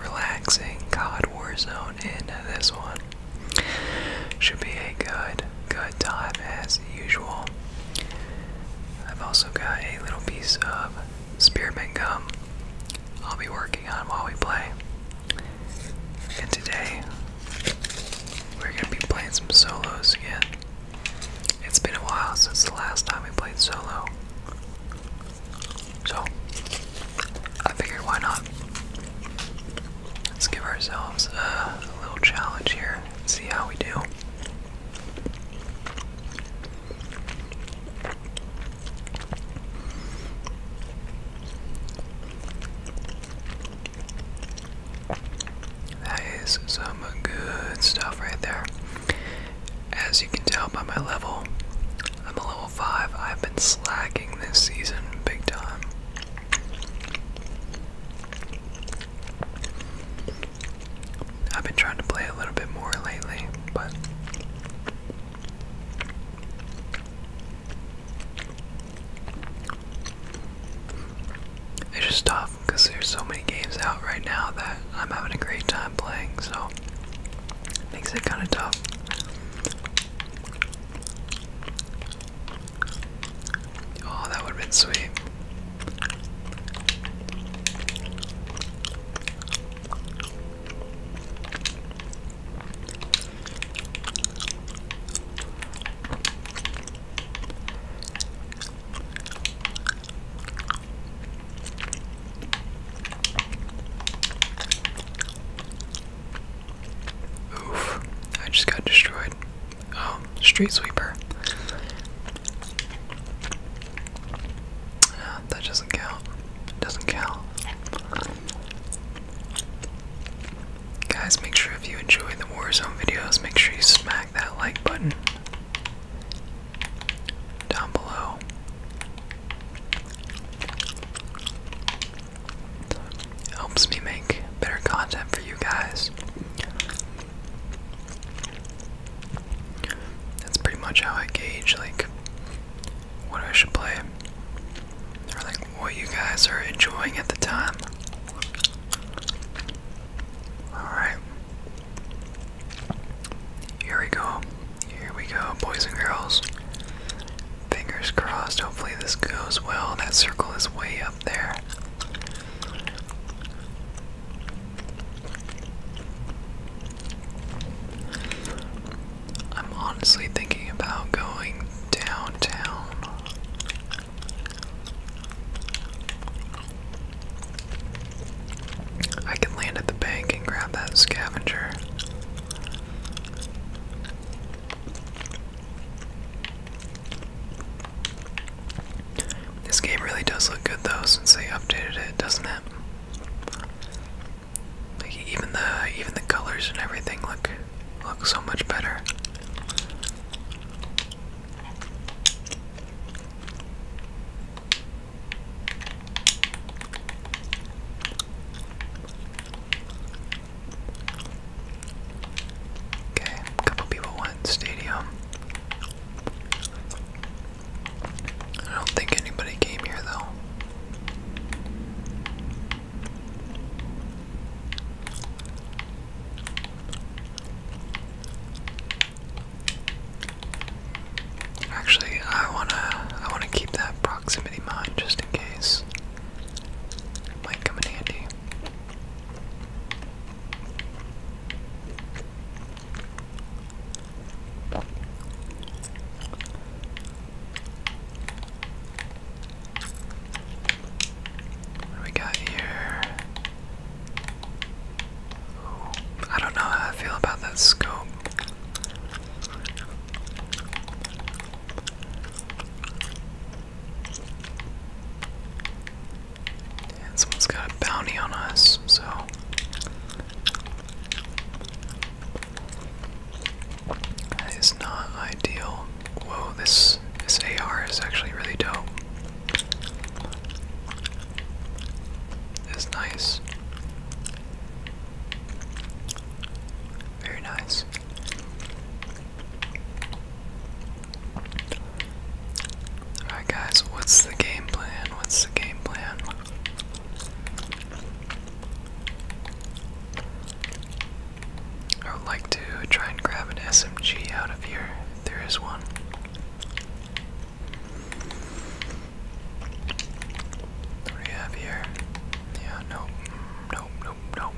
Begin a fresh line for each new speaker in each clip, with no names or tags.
relaxing COD war zone in this one. Should be a good, good time as usual. I've also got a little piece of spearmint gum I'll be working on while we play. And today, we're going to be playing some solos again. It's been a while since the last time we played solo. So, I figured why not? Let's give ourselves a, little challenge here and see how we do. That is some good stuff right there. As you can tell by my level, I'm a level 5. I've been slacking this season big time. I've been trying to play a little bit more lately, but it's just tough because there's so many games out right now that I'm having a great time playing, so it makes it kind of tough. Oh, that would have been sweet. Oof, I just got destroyed. Oh, street sweeper. Uh, that doesn't count. Doesn't count. Guys, make sure if you enjoy the Warzone videos, make sure you smack that like button down below. Helps me make better content for you guys. That's pretty much how I gauge like what I should play. Or like what you guys are enjoying at the time. Alright. Here we go. Here we go, boys and girls. Fingers crossed, hopefully this goes well. That circle is way up there. I'm honestly thinking about going downtown. I can land at the bank and grab that scavenger. This game really does look good though since they updated it, doesn't it? even the even the colors and everything look look so much better. Okay, a couple people went stadium. I don't think anybody came here though. Actually, I wanna I wanna keep that proximity mind just in case. Might come in handy. What do we got here? I don't know how I feel about that scope. And someone's got a bounty on us, so. That is not ideal. Whoa, this this AR is actually really dope. It's nice. Very nice. Alright, guys, what's the game plan? What's the game plan? I would like to try and grab an SMG out of here there is one. What do we have here? Yeah, nope no, no, no.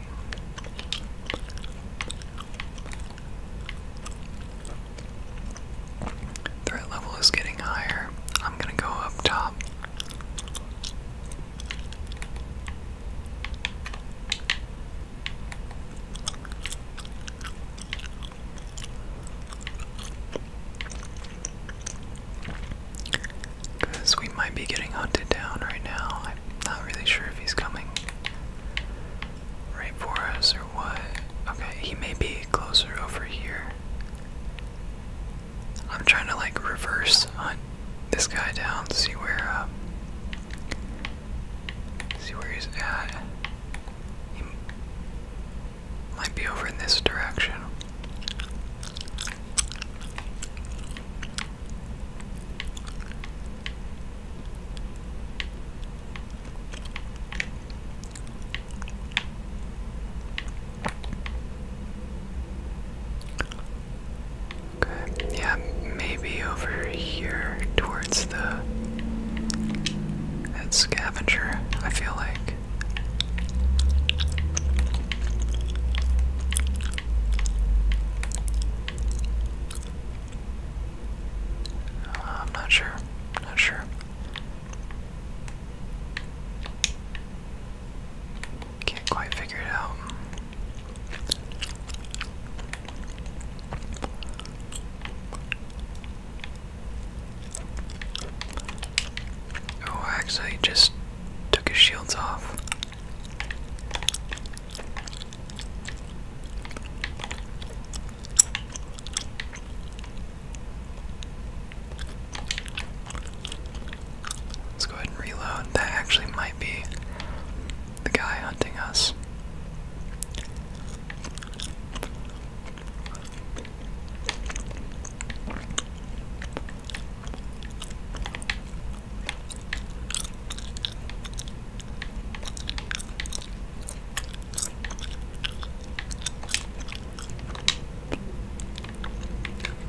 Threat level is getting higher. I'm gonna go up top. Because we might be getting hunted down right now. I'm not really sure if he's coming right for us or what. Okay, he may be closer over here. I'm trying to like reverse hunt this guy down, see where um, see where he's at. He might be over in this direction. Yeah, maybe over here towards the scavenger, I feel like. Uh, I'm not sure. Not sure. Can't quite figure it out. Oh, actually just took his shields off. Let's go ahead and reload. That actually might be the guy hunting us.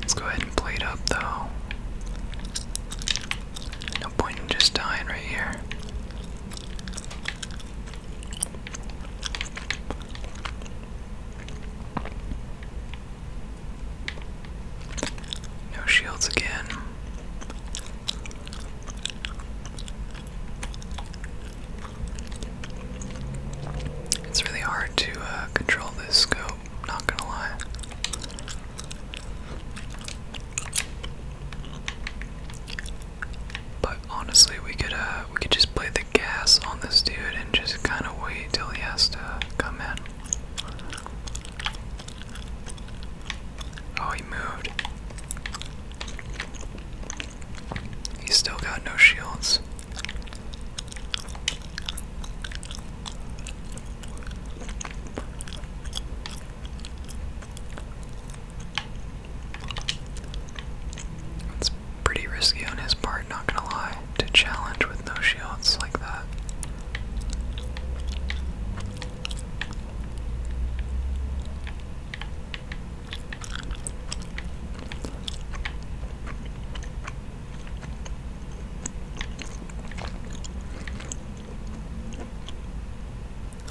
Let's go ahead and plate up though. No point in just dying right here. No shields again. It's really hard to uh, control this scope, not gonna lie. But honestly, we could uh, we could just play the gas on this dude and just kind of wait till he has to come in. Oh, he moved. He's still got no shields. That's pretty risky on his part not gonna lie, to challenge with no shields like that.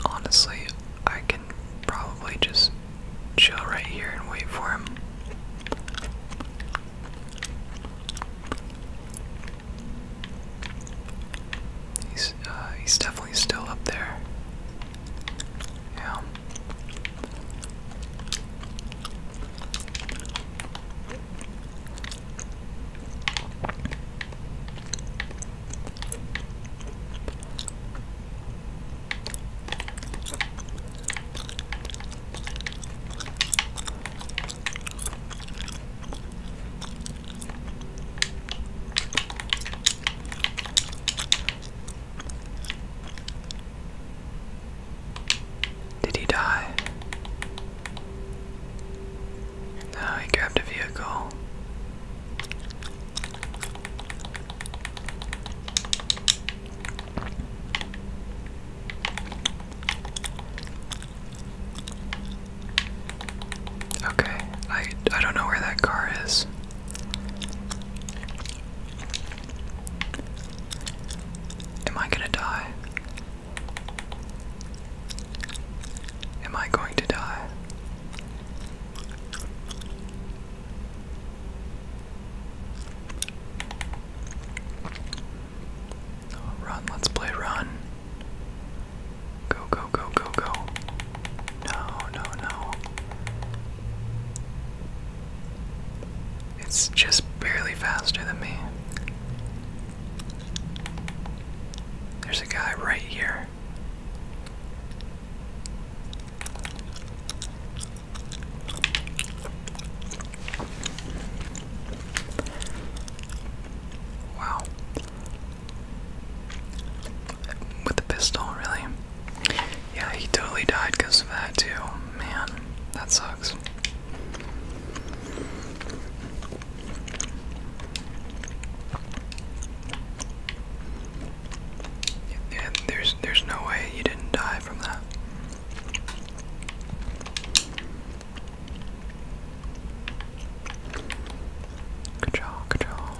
Honestly, I can probably just chill right here and wait for him. He's uh, he's definitely still up there. Yeah. Did he die? No, he grabbed a vehicle. Okay, I I don't know where that car is. Am I gonna die? Am I going to die? Oh, run, let's play run. Go, go, go, go, go. No, no, no. It's just barely faster than me. There's a guy right here. Wow. With the pistol, really? Yeah, he totally died because of that, too. Man, that sucks. Yeah, there's there's no way you didn't die from that. Good job, good job.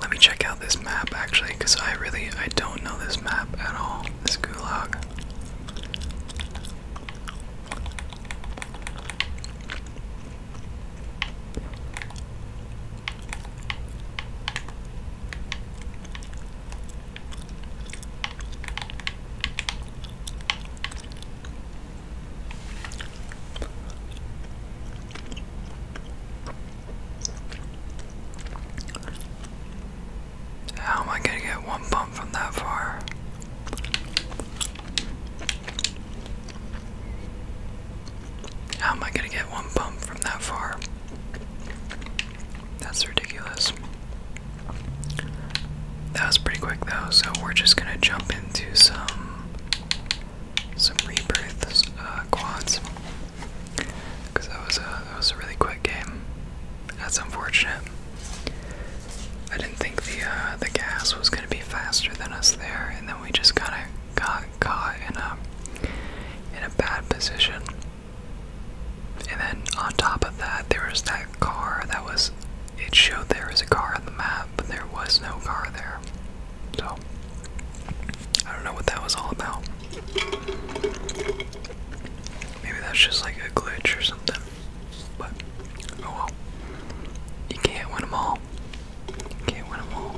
Let me check out this map actually, because I really I don't know this map at all. This gulag. How am I going to get one bump from that far? How am I going to get one bump from that far? That's ridiculous. That was pretty quick though, so we're just gonna jump into some some rebirths uh, quads because that was a that was a really quick game. That's unfortunate. I didn't think the uh, the gas was gonna be faster than us there, and then we just kind of got caught in a in a bad position. And then on top of that, there was that car that was. It showed there was a car on the map, but there was no car there. So, I don't know what that was all about. Maybe that's just like a glitch or something. But, oh well. You can't win them all. can't win them all.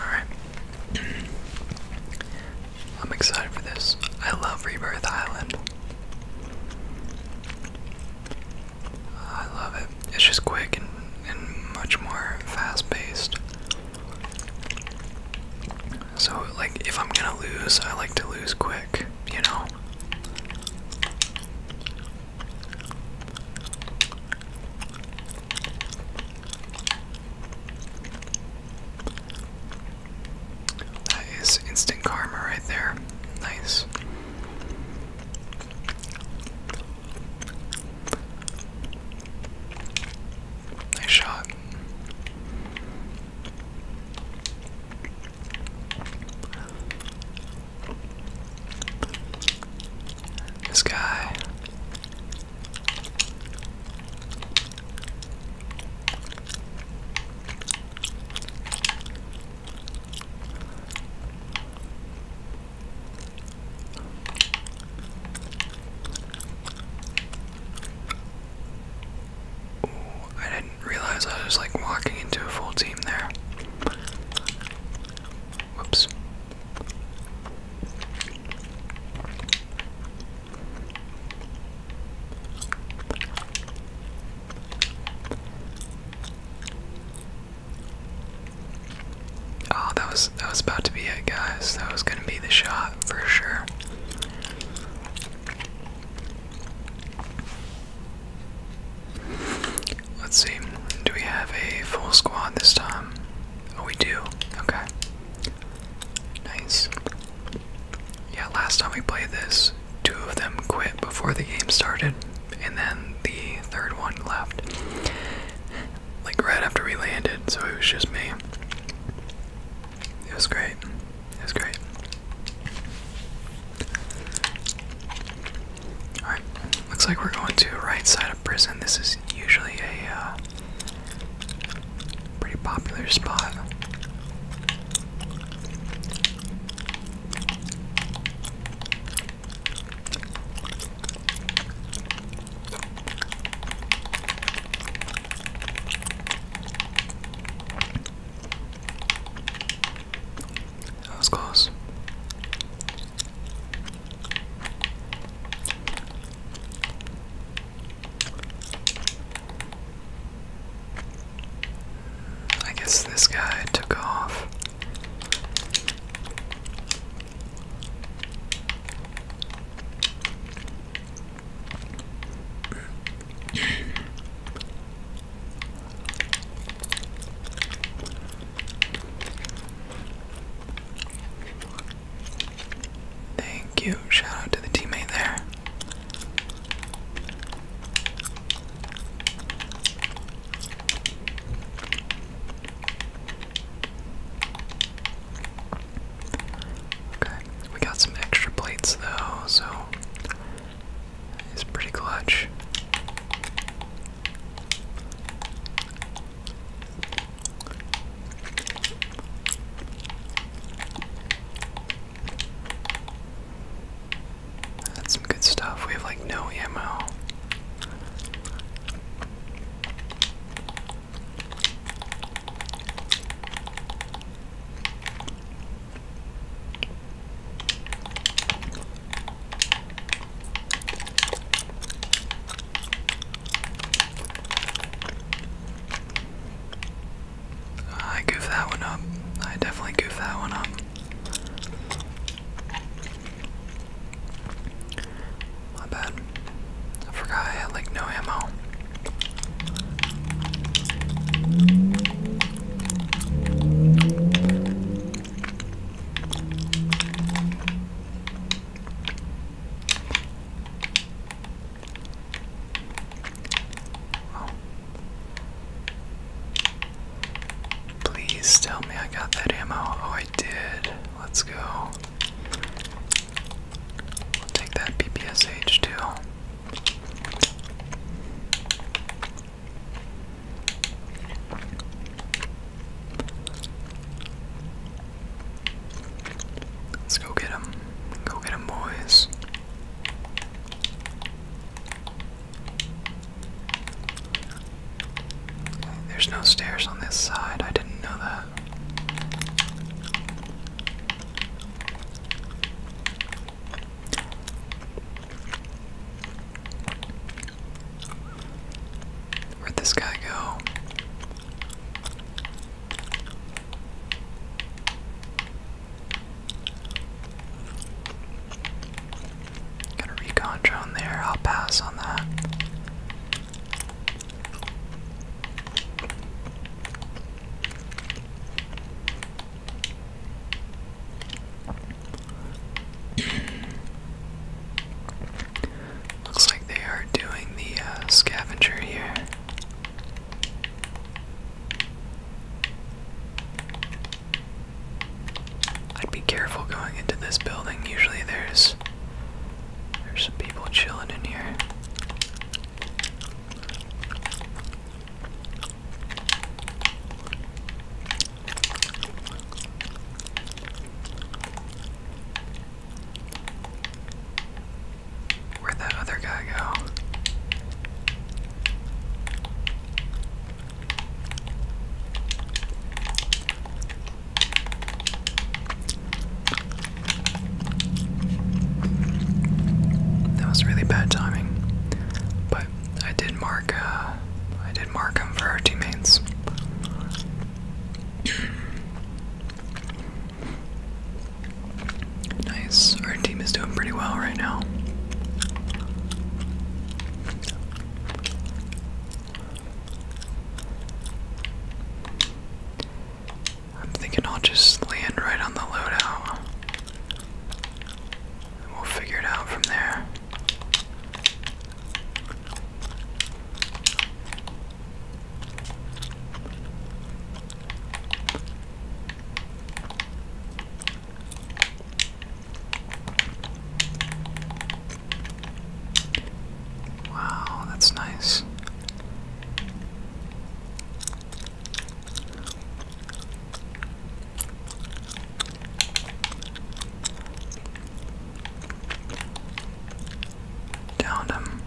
Alright. I'm excited for this. I love Rebirth Island. I love it. It's just quick and, much more fast paced. So, like, if I'm gonna lose, I like to lose quick, you know? That is instant karma right there. Nice. Nice shot. This guy. I didn't realize I was like walking into a full team there. Whoops. Oh, that was that was about to be it, guys. That was gonna be the shot for sure. Let's see. Do we have a full squad this time? Oh, we do. Okay. Nice. Yeah, last time we played this, two of them quit before the game started and then the third one left. Like right after we landed, so it was just me. It was great. It was great. Alright, looks like we're going to right side of prison. This is usually a uh, pretty popular spot. That was close. I guess this guy took off. Thank you. Shout out to the teammate there. Okay, we got some extra plates though, so it's pretty clutch. That's some good stuff. We have like no ammo. I goofed that one up. I definitely goofed that one up. My bad. I forgot I had like no ammo. Please tell me I got that ammo. Oh, I did. Let's go. take that BPSH too. Let's go get Go get boys. There's no stairs on this side. I didn't know that. Where'd this guy go? Got a recon drone there. I'll pass on that. Looks like they are doing the uh, scavenger here. I'd be careful going into this building. Usually there's there's some people chilling in here. Where'd that other guy go? That was really bad timing, but I did mark. Uh, I did mark him for our teammates. nice. Our team is doing pretty well right now. I'm thinking I'll just land right on the loadout. And we'll figure it out from there. Wow, that's nice. Downed him.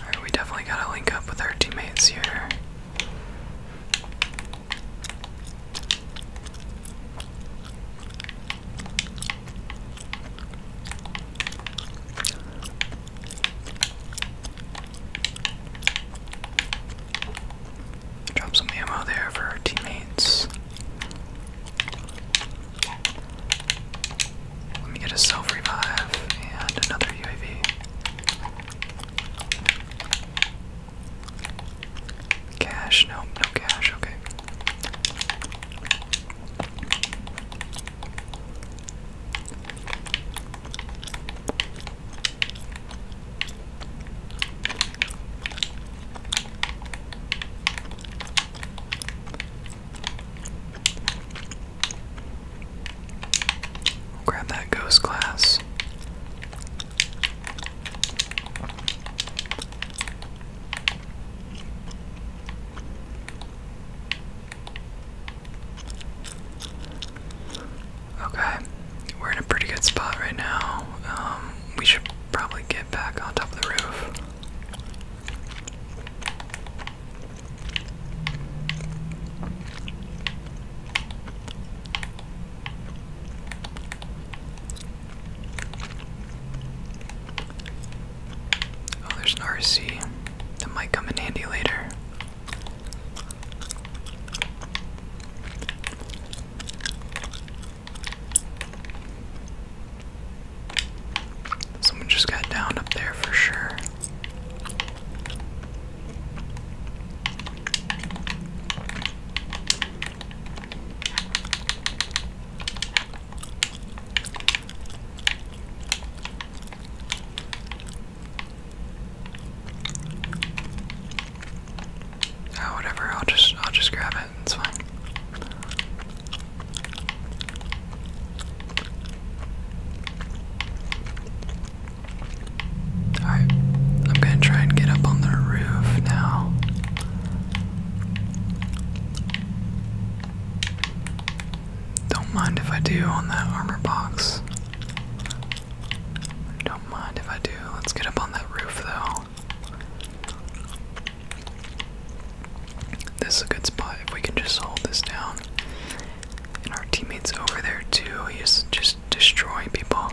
Alright, we definitely gotta link up with our teammates here. Drop some ammo there for our teammates. Let me get a self revive and another UAV. Cash? No, no cash. Okay. Grab that ghost glass. Okay, we're in a pretty good spot right now. Um, we should probably get back on top of the roof. Oh, there's an RC that might come in handy later. Someone just got down up there for sure. Oh, whatever. I'll just I'll just grab it. It's fine. Alright, I'm gonna try and get up on the roof now. Don't mind if I do on that armor box. Don't mind if I do. Let's get up on that roof though. This is a good spot if we can just hold this down. And our teammates over there too. He's just destroying people.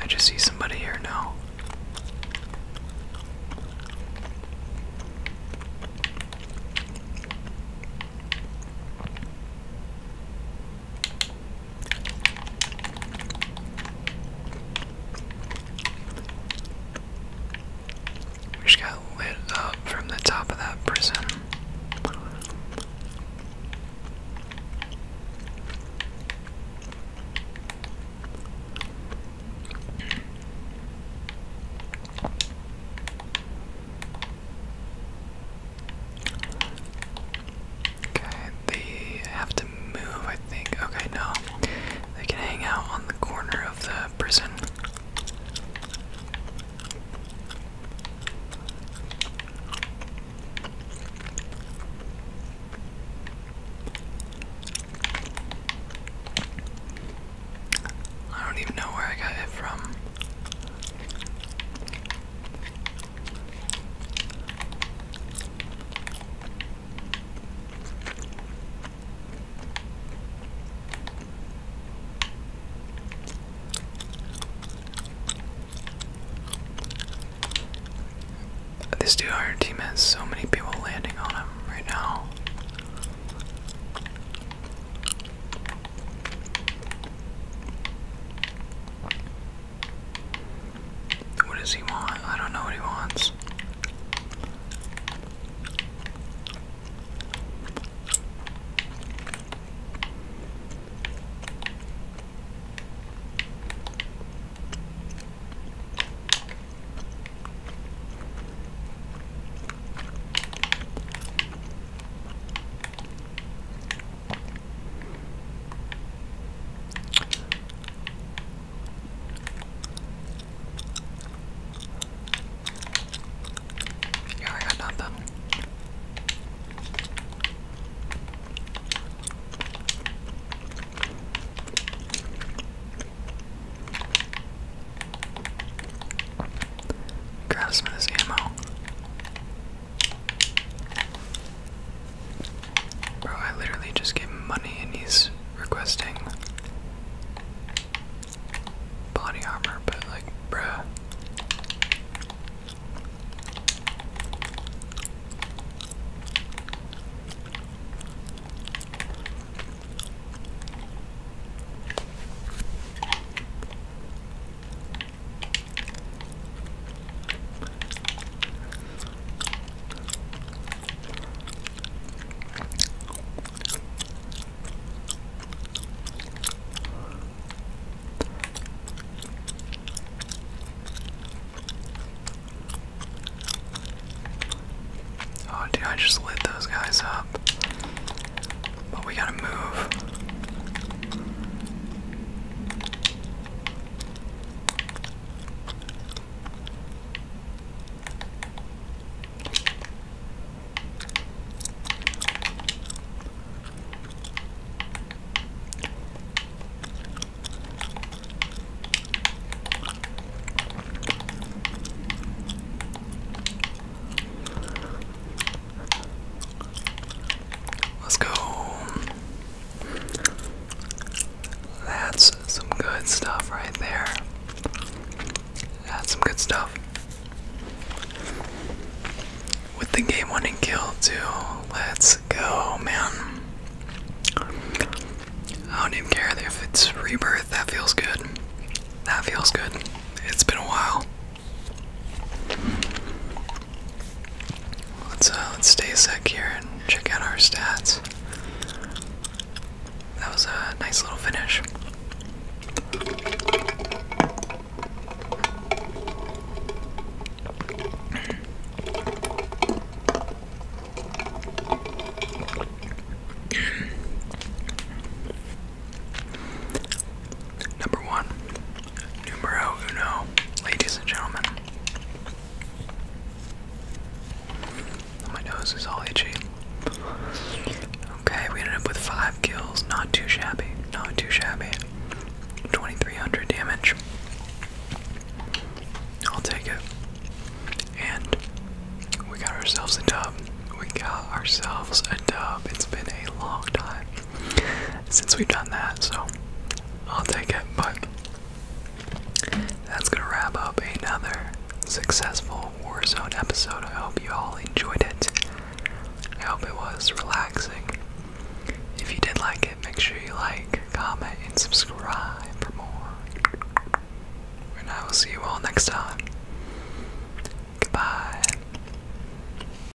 I just see somebody here now? We just got lit up from the top of that prison. Okay, they have to move, I think. Okay, no. They can hang out on the corner of the prison. I don't even know where I got it from. This dude on team has so many people landing on him right now. What does he want? I don't know what he wants. Yeah, I got nothing. Grab some Bro, I literally just gave him money and he's requesting body armor, but like, bruh. Oh, dude, I just lit those guys up. But we gotta move. Let's go. That's some good stuff right there. That's some good stuff. With the game winning kill, too. Let's go, man. I don't even care if it's rebirth. That feels good. That feels good. It's been a while. Let's uh, let's stay a sec here and check out our stats. That was a nice little finish. Number one, numero uno, ladies and gentlemen. My nose is all itchy. Okay, we ended up with five kills. Not too shabby. Not too shabby. 2300 damage. I'll take it. And we got ourselves a dub. We got ourselves a dub. It's been a long time since we've done that, so I'll take it. But that's gonna wrap up another successful Warzone episode. I hope you all enjoyed it. I hope it was relaxing. If you did like it, make sure you like, comment, and subscribe for more. And I will see you all next time. Goodbye.